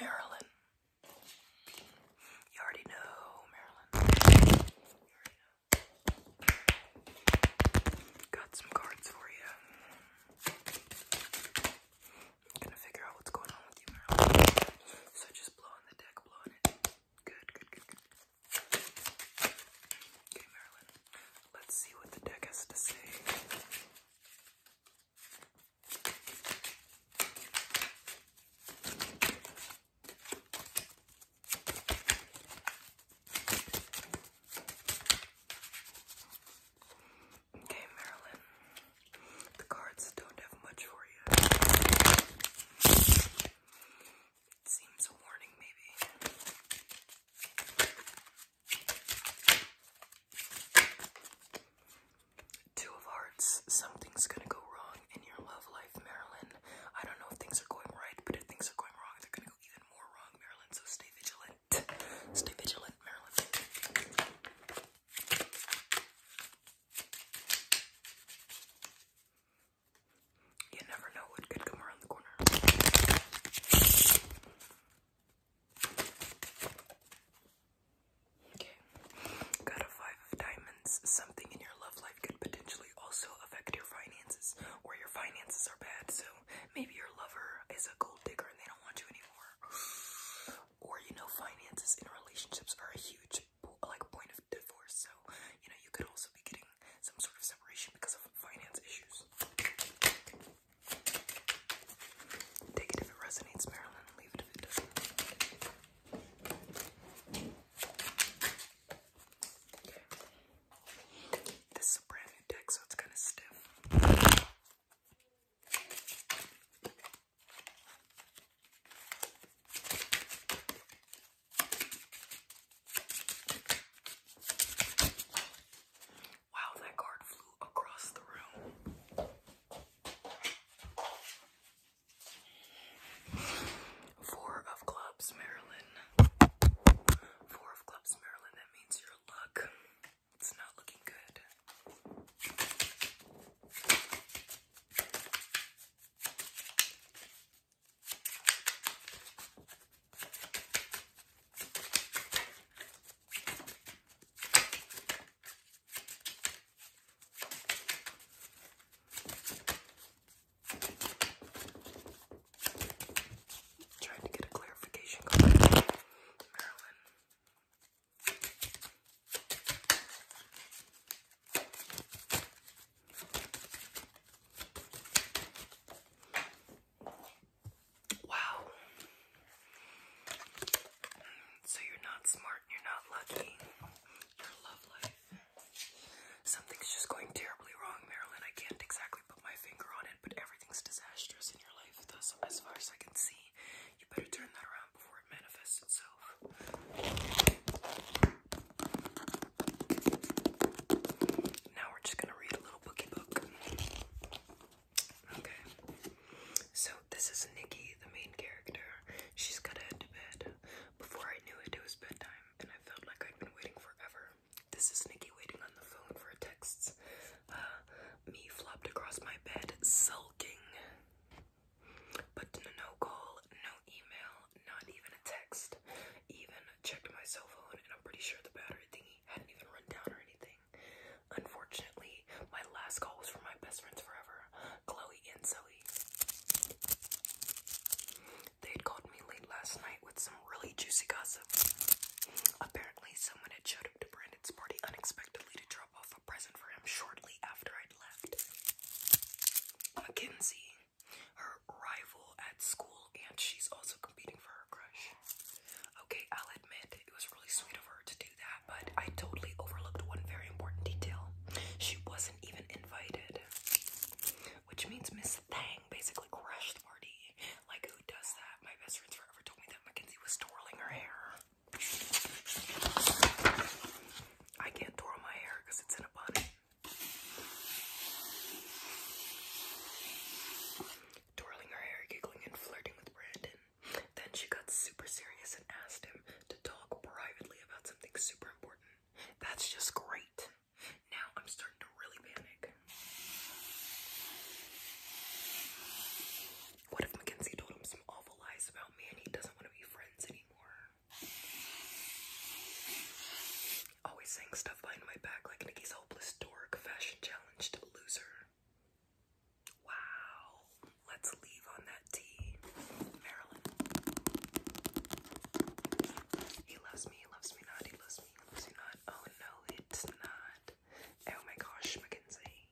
Marilyn. You already know, Marilyn. Got some cards for you. gonna figure out what's going on with you, Marilyn. So just blow the deck, blow it. Good, good, good, good. Okay, Marilyn. Let's see what the deck has to say. Okay, Marilyn. The cards don't have much for you. It seems a warning, maybe. Two of Hearts. Something's gonna go wrong in your love life, Marilyn. I don't know if things are going right, but if things are going wrong, they're gonna go even more wrong, Marilyn. So stay vigilant. Stay vigilant, Marilyn. You never know what could come around the corner. Okay. Got a five of diamonds. Something in your love life could potentially also affect your finances, or your finances are bad, so maybe your lover is a gold digger and they don't want you anymore. Or you know, finances in relationships are a huge like point of divorce, so you know you could also be getting some sort of separation because of finance issues. Take it if it resonates, Marilyn. Leave it if it doesn't. This is a brand new deck, so it's kind of stiff. Wow, that card flew across the room. Four of clubs, Marilyn. Four of clubs, Marilyn. That means your luck. It's not looking good. Trying to get a clarification Marilyn. Wow. So you're not smart, you're not lucky. Your love life. Something's just going terribly wrong, Marilyn. I can't exactly put my finger on it, but everything's disastrous in your life, as far as I can see. You better turn that around before it manifests itself. Now we're just gonna read a little bookie book. Okay. So this is Nikki, the main character. She's gotta head to bed. Before I knew it, it was bedtime, and I felt like I'd been waiting forever. This is Nikki waiting on the phone for texts. Uh, me flopped across my bed, sulking. But no call, no email, not even a text. Even checked my cell phone, and I'm pretty sure the battery thingy hadn't even run down or anything. Unfortunately, my last call was from my best friends forever, Chloe and Zoe. They had called me late last night with some really juicy gossip. Apparently, someone had showed up to Brandon's party unexpectedly to drop off a present for him shortly after I right her rival at school, and she's also competing for her crush. Okay, I'll admit it was really sweet of her to do that, but I totally overlooked one very important detail. She wasn't even invited. Which means Miss Thang basically crashed the party. Like, who does that? My best friends forever told me that Mackenzie was twirling her hair. I can't twirl my hair because it's in a bun. Twirling her hair, giggling, and flirting with Brandon. Then she got super serious and asked him to talk privately about something super important. That's just great. Now I'm starting to really panic. What if Mackenzie told him some awful lies about me and he doesn't want to be friends anymore? Always saying stuff behind my back like Nikki's hopeless dork fashion challenge loser. Wow. Let's leave on that tea. Marilyn. He loves me, loves me not, he loves me, loves me not. Oh no, it's not. Oh my gosh, Mackenzie.